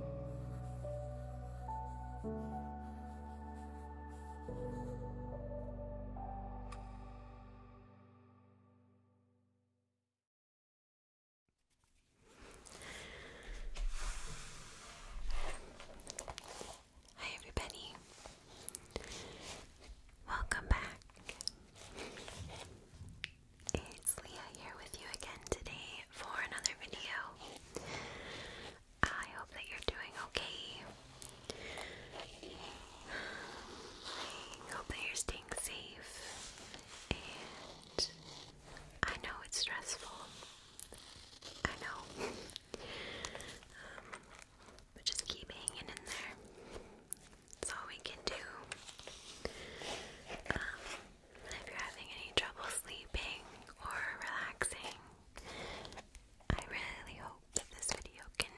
Hi, everybody. Welcome back. It's Leah here with you again today for another video. I hope that you're doing okay. I hope that you're staying safe. And I know it's stressful. I know. Um, but just keep hanging in there. That's all we can do. Um, if you're having any trouble sleeping or relaxing, I really hope that this video can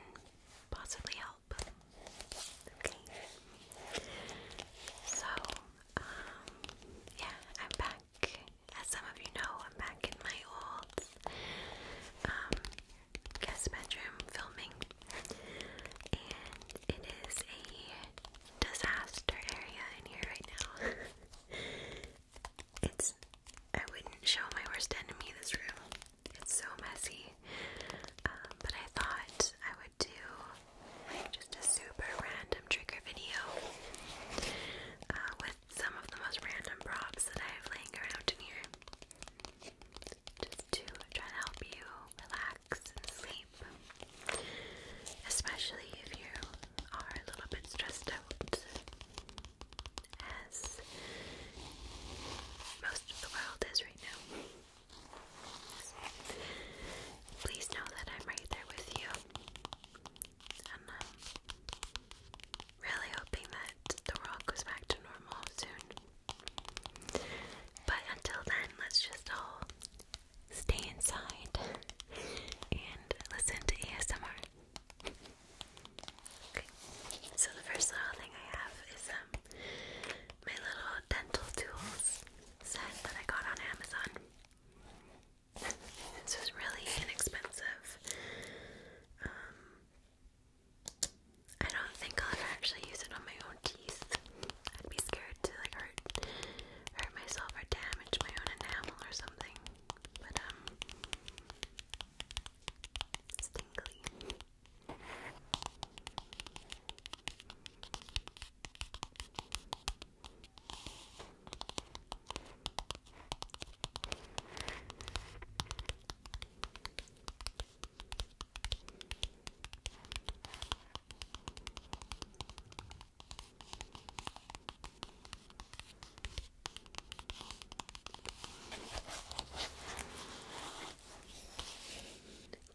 possibly help. So, um, yeah, I'm back. As some of you know, I'm back in my old um, guest bedroom filming, and it is a disaster area in here right now. it's I wouldn't show my worst enemy this room. It's so messy. Um, but I thought I would do just a super random trigger video uh, with some of the most random props that I have laying around in here. Just to try to help you relax relax sleep, especially if you are a little bit stressed out, as most of the world is right now. please know that I'm right there with you, and really hoping that the world goes back to normal soon. But until then, let's just all stay inside and listen to ASMR. so the first little thing I have is um my little dental tools set that I got on Amazon. this was really inexpensive. Um, I don't think I'll ever actually use it on my own teeth. I'd be scared to like hurt hurt myself or damage my own enamel or something. But um it's tingly. Okay.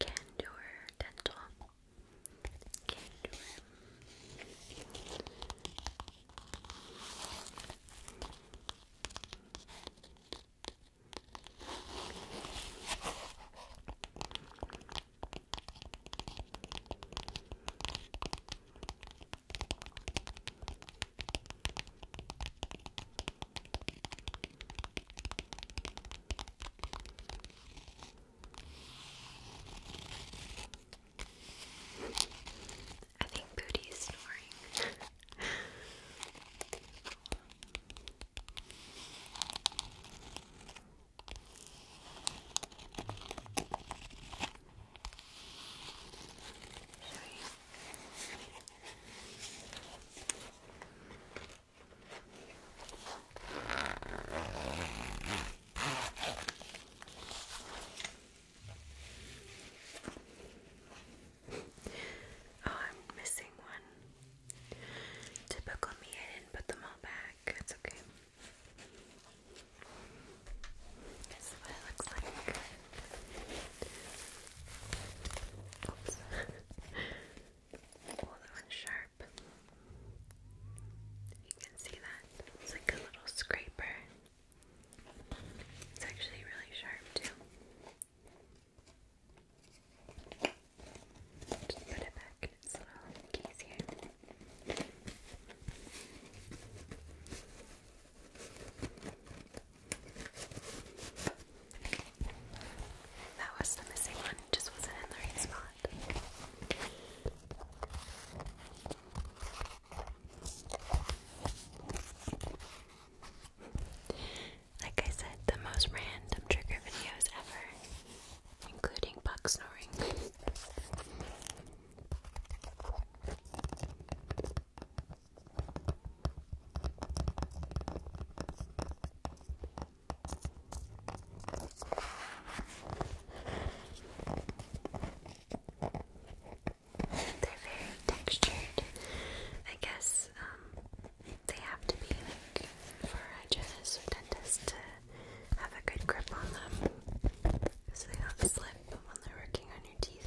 Candor dental. Candor. I think Booty is snoring. Oh, I'm missing one. Typical me, I didn't put them all back. It's okay. This is what it looks like. Oops. oh, that one's sharp. You can see that. It's like a little scraper. It's actually really sharp, too. Just put it back in its little case here. That was the missing one, just wasn't in the right spot. Like I said, the most random trigger videos ever including bug snoring. They're very textured, I guess. Um, they have to be like for a dentist or dentist to have a good grip on them so they don't slip when they're working on your teeth.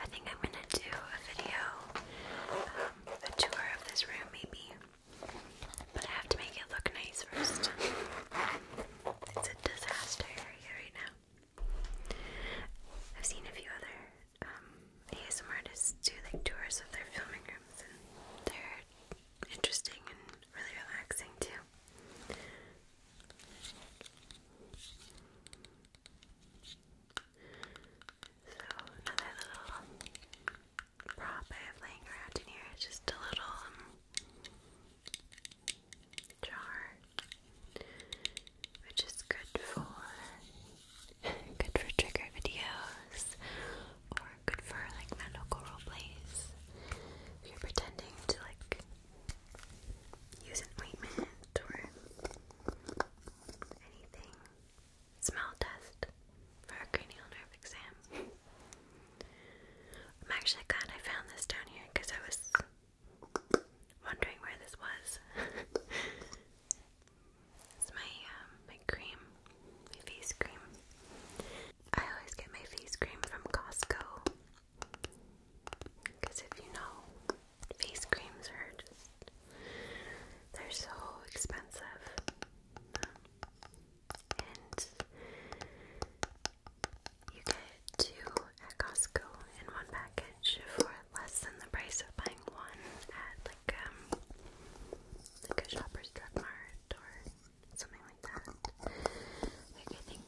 I think I'm gonna do a video, um, a tour of this room maybe. But I have to make it look nice first. It's a disaster area right now. I've seen a few other um, ASMR artists do like tours of their filming rooms and they're interesting and really relaxing too. So another little prop I have laying around in here is just a little um, jar, which is good for good for trigger videos or good for like medical role plays. If you're pretending to like use an or anything. Smell test for cranial nerve exam. I'm actually glad I found this down here because I was wondering where this was. it's my um, my cream, face cream. I always get my face cream from Costco. Because if you know, face creams are just, they're so expensive. And you get two at Costco in one package for less than the price of buying one at like um like a shopper's drug mart or something like that. Like I think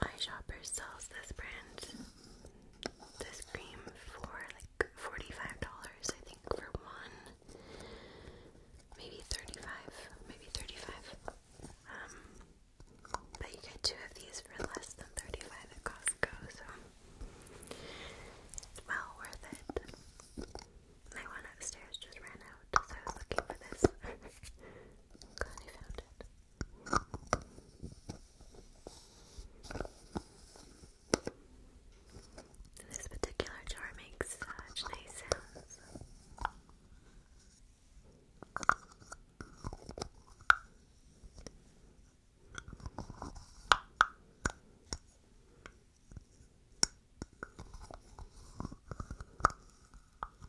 my shopper sells this brand, this cream for like forty-five dollars. I think for one, maybe thirty-five, maybe thirty-five. Um, but you get two of these for less than thirty-five at Costco, so it's well worth it. My one upstairs just ran out, so I was looking for this. Glad I found it. This particular jar makes such nice sounds.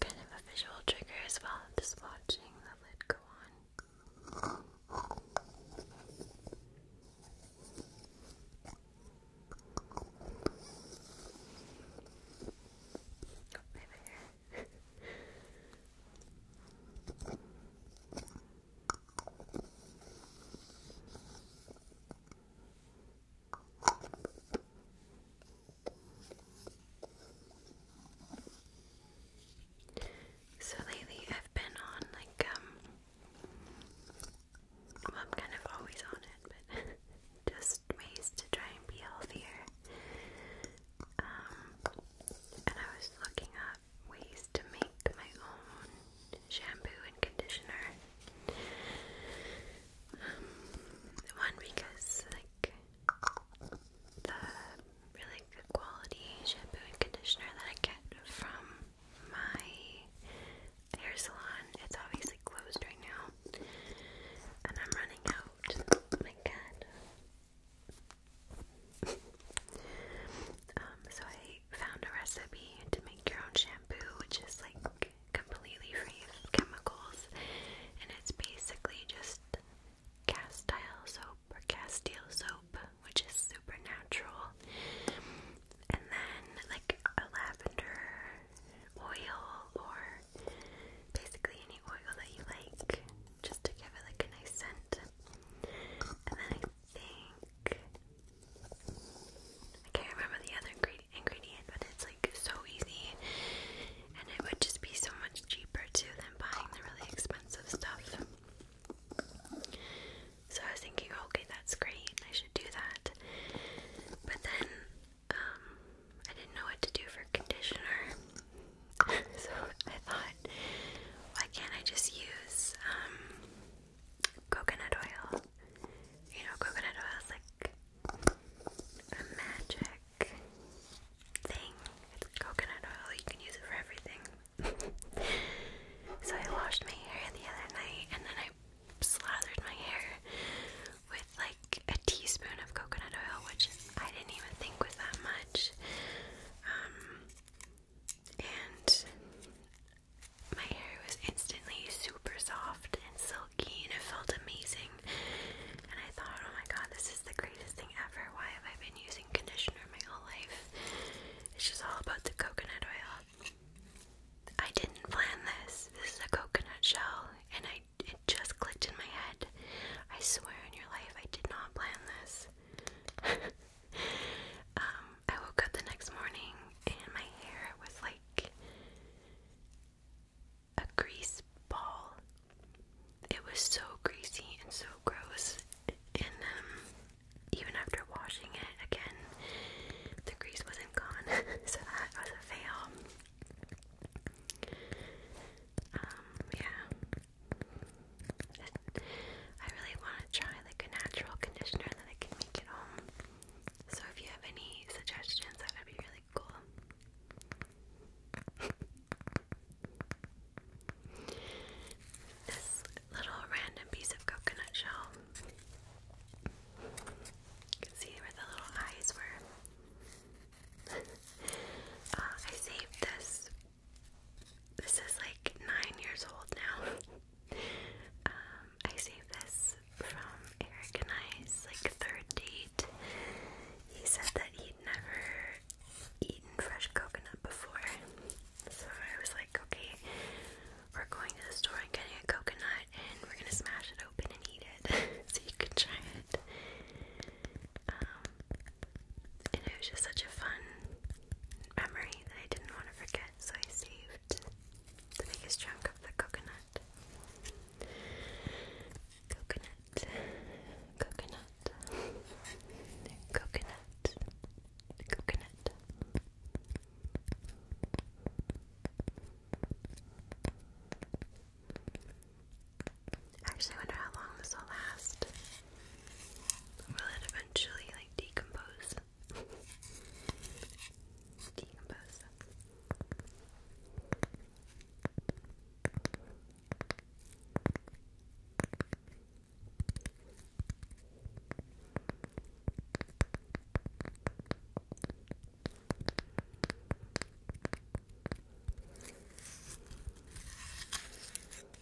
Kind of a visual trigger as well, just watching the lid go on. Oh, my hair. So lately I've been on like um I'm kind of always on it but just ways to try and be healthier. Um and I was looking up ways to make my own shampoo and conditioner. Um, one because like the really good quality shampoo and conditioner that I get from my hair salon, it's obviously closed right now, and I'm running out. my God. Um, so I found a recipe to make your own shampoo, which is like completely free of chemicals, and it's basically just castile soap or castile soap, which is super natural, and then like a lavender oil or basically any oil that you like, just to give it like a nice scent. And then I think I can't remember the other ingredient, but it's like so easy, and it would just be so much cheaper too than buying the really expensive stuff. So I was thinking, oh, okay, that's great, I should do that. But then um, I didn't know what to do for conditioner, so I thought, why can't I just use um, coconut oil? You know, coconut oil is like a magic thing. coconut oil, you can use it for everything. so I washed my hair the other night and then I slathered my hair with like a teaspoon of coconut oil, which I didn't even think was that much. Um, and my hair was instantly super soft and silky, and it felt amazing. And I thought, oh my god, this is the greatest thing ever. Why have I been using conditioner my whole life? It's just all about the coconut oil. I didn't plan this. This is a coconut shell, and I it just clicked in my head. I swear in your life, I did not plan this. Um, I woke up the next morning and my hair was like a grease ball. It was so greasy and so gross. And um, even after washing it again, the grease wasn't gone. so that was a fail. Um, yeah. I really want to try like a natural conditioner that I can make at home. So if you have any suggestions, that would be really cool. This little random piece of coconut shell. You can see where the little eyes were. Uh, I saved this this is like nine years old now. Um, I saved this from Eric and I's like third date. He said that he'd never eaten fresh coconut before. So I was like, okay, we're going to the store and getting a coconut and we're gonna smash it open and eat it so you can try it. Um, and it was just such a fun memory that I didn't want to forget, so I saved the biggest chunk of the coconut. Coconut, coconut, coconut, coconut. Actually, I wonder how long this will last. Will it eventually like decompose? decompose.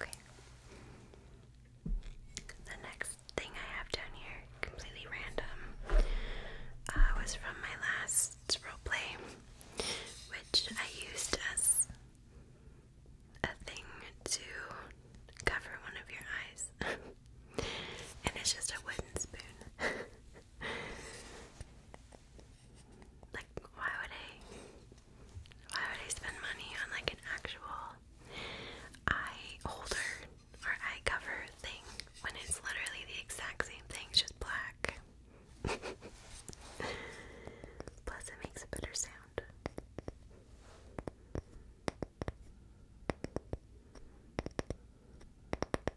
Okay. The next thing I have down here, completely random, uh, was from my last roleplay, which I used as a thing to cover one of your eyes. and it's just a wooden spoon. like, why would I? Why would I spend money on like an actual eye holder or eye cover thing when it's literally the exact same thing, just black? Plus, it makes a better sound.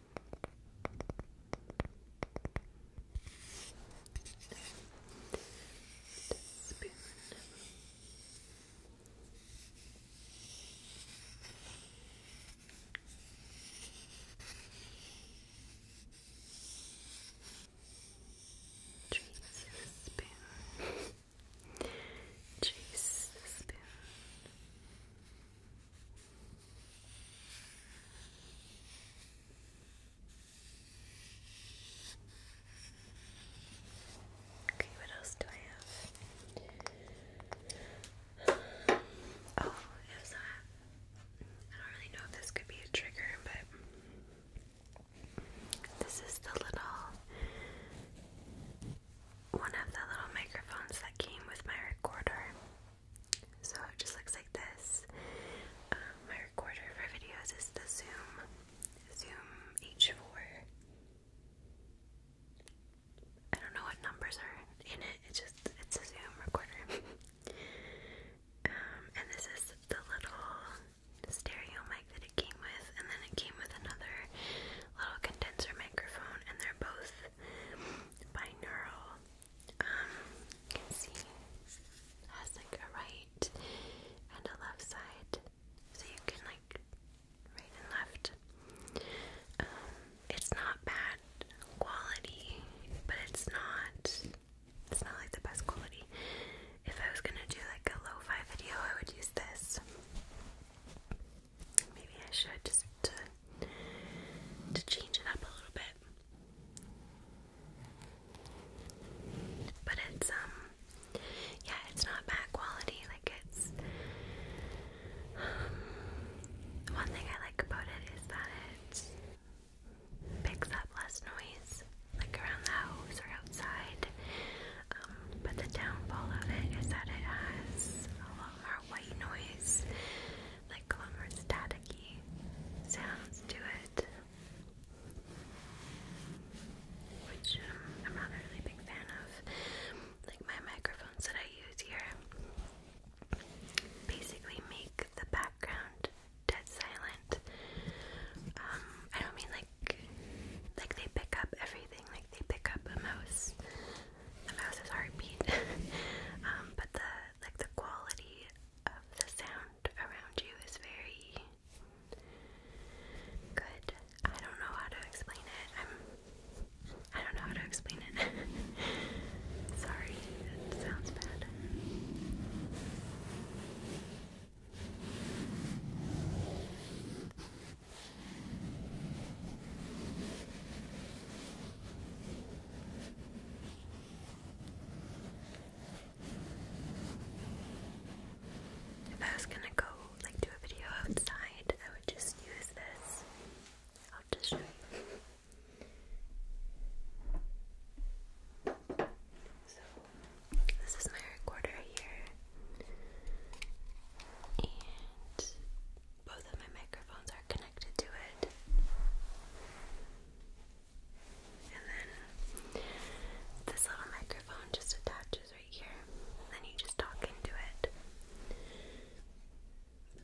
Chase the spoon. Chase the spoon. Okay, what else do I have? Oh, it that. I don't really know if this could be a trigger, but this is the little one of the little microphones that came with my recorder. So it just looks like this. Um, my recorder for videos is the Zoom Zoom H4. I don't know what numbers are in it. It's just it's a Zoom recorder. Um, and this is the little stereo mic that it came with, and then it came with another little condenser microphone, and they're both binaural. you um, can see has like a right and a left side, so you can like right and left. Um, it's not bad quality, but it's not. It's not like the best quality. If I was gonna do like a lo-fi video, I would use this. Maybe I should just to, uh, to change it up a little bit. But it's um yeah, it's not bad quality, like it's um, one thing I like about it is that it picks up less noise, like around the house or outside. Um, but the downfall of it is that it has a lot more white noise, like lumber staticky sounds to it, which um, I'm not a really big fan of. Like my microphones that I use here basically make the background dead silent. Um, I don't mean like like they pick up everything, like they pick up a mouse the mouse's heartbeat. Um, but the like the quality of the sound around you is very good. I don't know how to explain it. I'm I don't know how to explain it. Sorry, sounds bad. If I was gonna go like do a video outside, I would just use this. I'll just show So this is my recorder here. And both of my microphones are connected to it. And then this little microphone just attaches right here. then you just talk into it.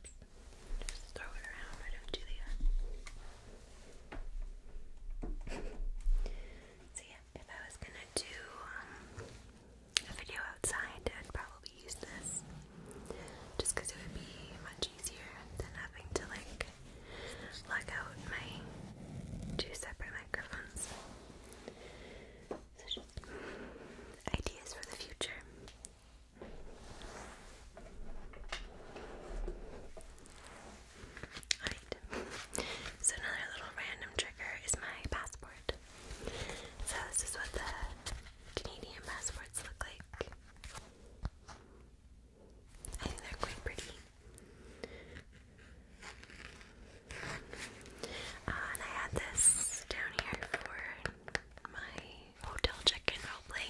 Just throw it around. I don't do that. so yeah, if I was gonna do um, a video outside and probably use this just because it would be much easier than having to like lug out my two separate microphones. ideas for the future. Alright, so another little random trigger is my passport. So this is what the Canadian passports look like. I think they're quite pretty. Uh, and I had this down here for my hotel check-in roleplay.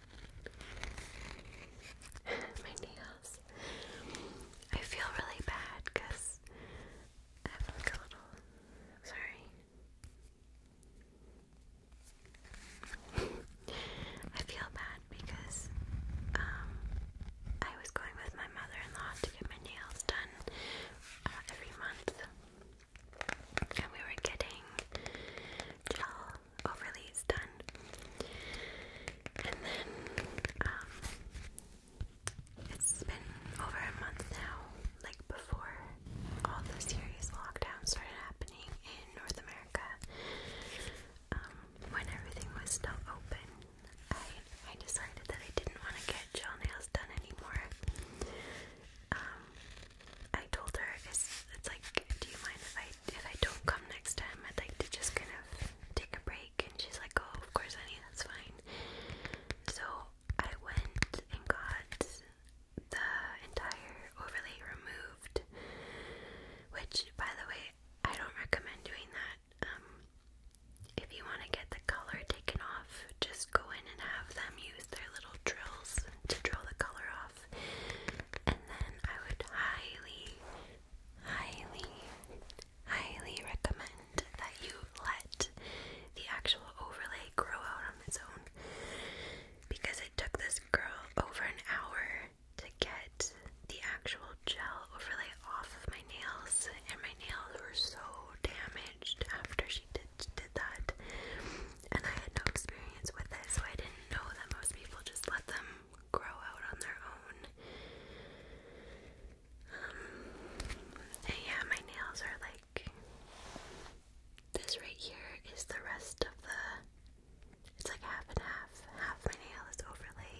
my nails. I feel really bad because I have a little. Sorry. I feel bad because um, I was going with my mother in law to get my nails done uh, every month. And we were getting gel overlays done. And then, um, it's been over a month now, like before all the serious lockdowns started happening in North America. Um, when everything was still open, I I decided that I didn't want to get gel nails done anymore. Um, I told her it's it's like, do you mind if I if I don't come next time? I'd like to just kind of take a break. And she's like, oh, of course, honey, that's fine. So I went and got the entire overlay removed, which, by the way, I don't recommend doing that. Um, if you want to get the color taken off, just go in and have them use their little drills to draw the color off. And then I would highly, highly, highly recommend that you let the actual overlay grow out on its own because it took this girl over an hour to get the actual gel overlay off my nails, and my nails were so damaged after she did did that and I had no experience with it, so I didn't know that most people just let them grow out on their own. Um, and yeah, my nails are like this right here is the rest of the. It's like half and half. Half my nail is overlay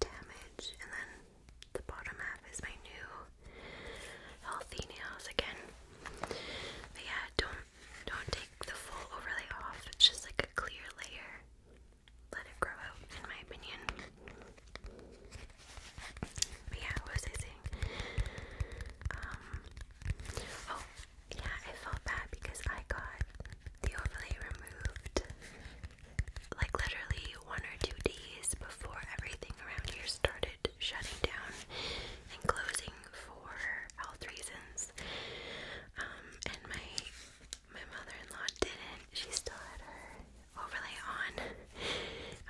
damage, and then the bottom half is my new healthy nails again. But yeah, don't don't take the full overlay off, it's just like a clear layer. Let it grow out, in my opinion. But yeah, what was I saying? Um, oh, yeah, I felt bad because I got the overlay removed like literally one or two days before everything around here started shutting down and closing for health reasons. Um, and my my mother-in-law didn't. She still had her overlay on,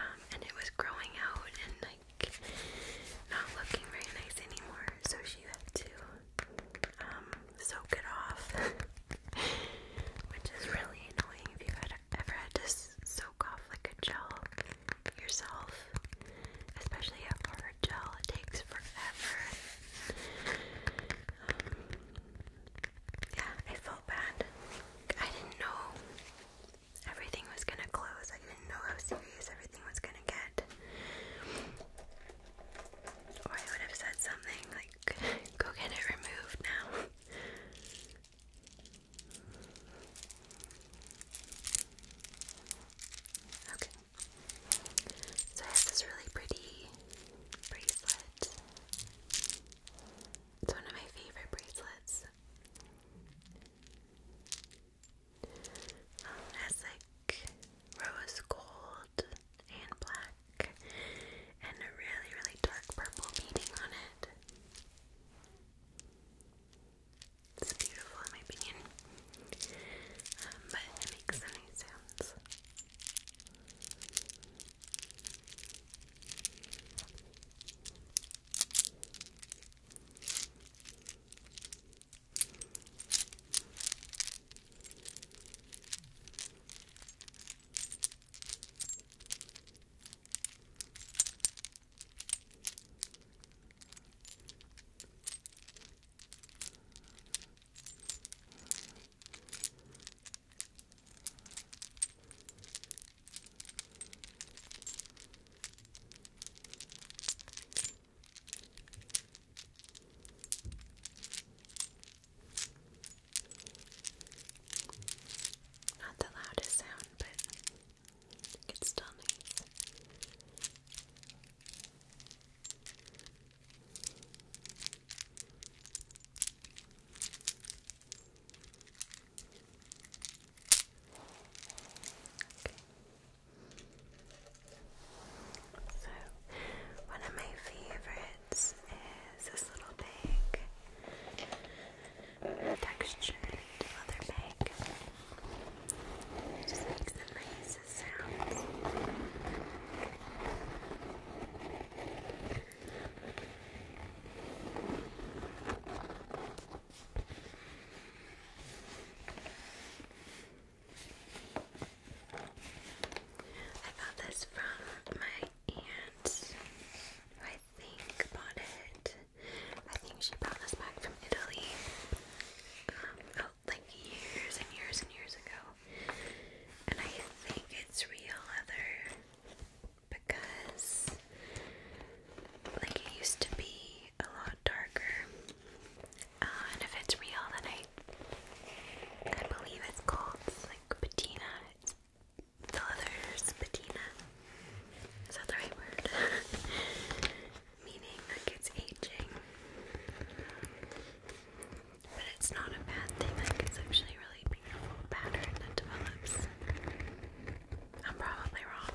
um, and it was growing out and like not looking very nice anymore. So she had to um, soak it off, which is really annoying if you had ever had to soak off like a gel yourself especially a bar gel. It takes forever. Um, yeah, I felt bad. I didn't know everything was gonna close. I didn't know how serious everything was gonna get. Or I would have said something like, go get it removed now. Okay. So I have this really pretty bracelet. It's one of my favorite bracelets. Um, it has like rose gold and black and a really, really dark purple beading on it. It's beautiful in my opinion. Um, but it makes so sounds. Not the loudest sound, but it's still nice. So, one of my favorites is this little bag, textured leather bag. It just makes a I got this from my aunt, I think bought it. I think she brought this back from Italy. Um, oh, like years and years and years ago. And I think it's real leather because like it used to be a lot darker. Uh, and if it's real then I I believe it's called like patina. It's leather's patina. Is that the right word? meaning like it's aging. But it's not a bad thing, like it's actually really beautiful pattern that develops. I'm probably wrong.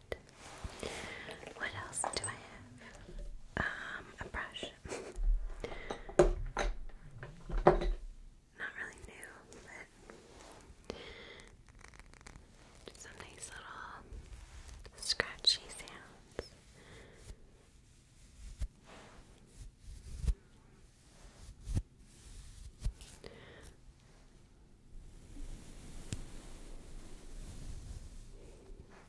what else do I have? Um, a brush. Not really new, but some nice little scratchy sound.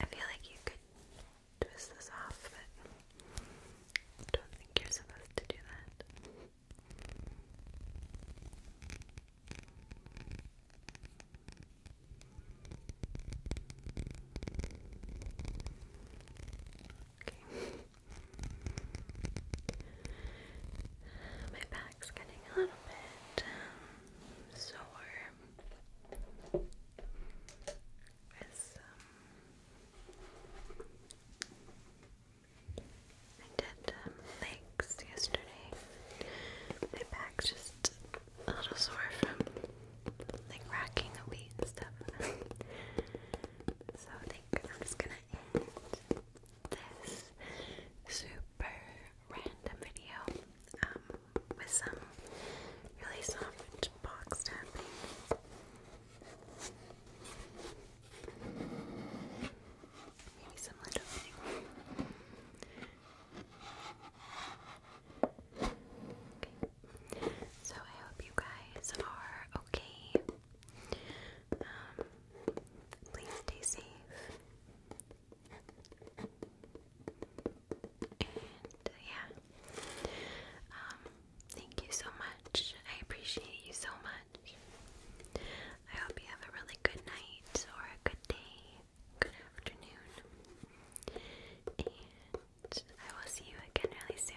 I feel like you could twist this off, but don't think you're supposed to do that. Okay. My back's getting a little bit um, sore um, I did um, legs yesterday. My back's just a little sore from like racking the weight and stuff. so I think I'm just gonna end this super random video um, with some really soft box tapping. Maybe some lid opening. So I hope you guys are okay. Um, please stay safe. And uh, yeah. Um, thank you so much. I appreciate you so much. I hope you have a really good night or a good day good afternoon, and I will see you again really soon.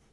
bye.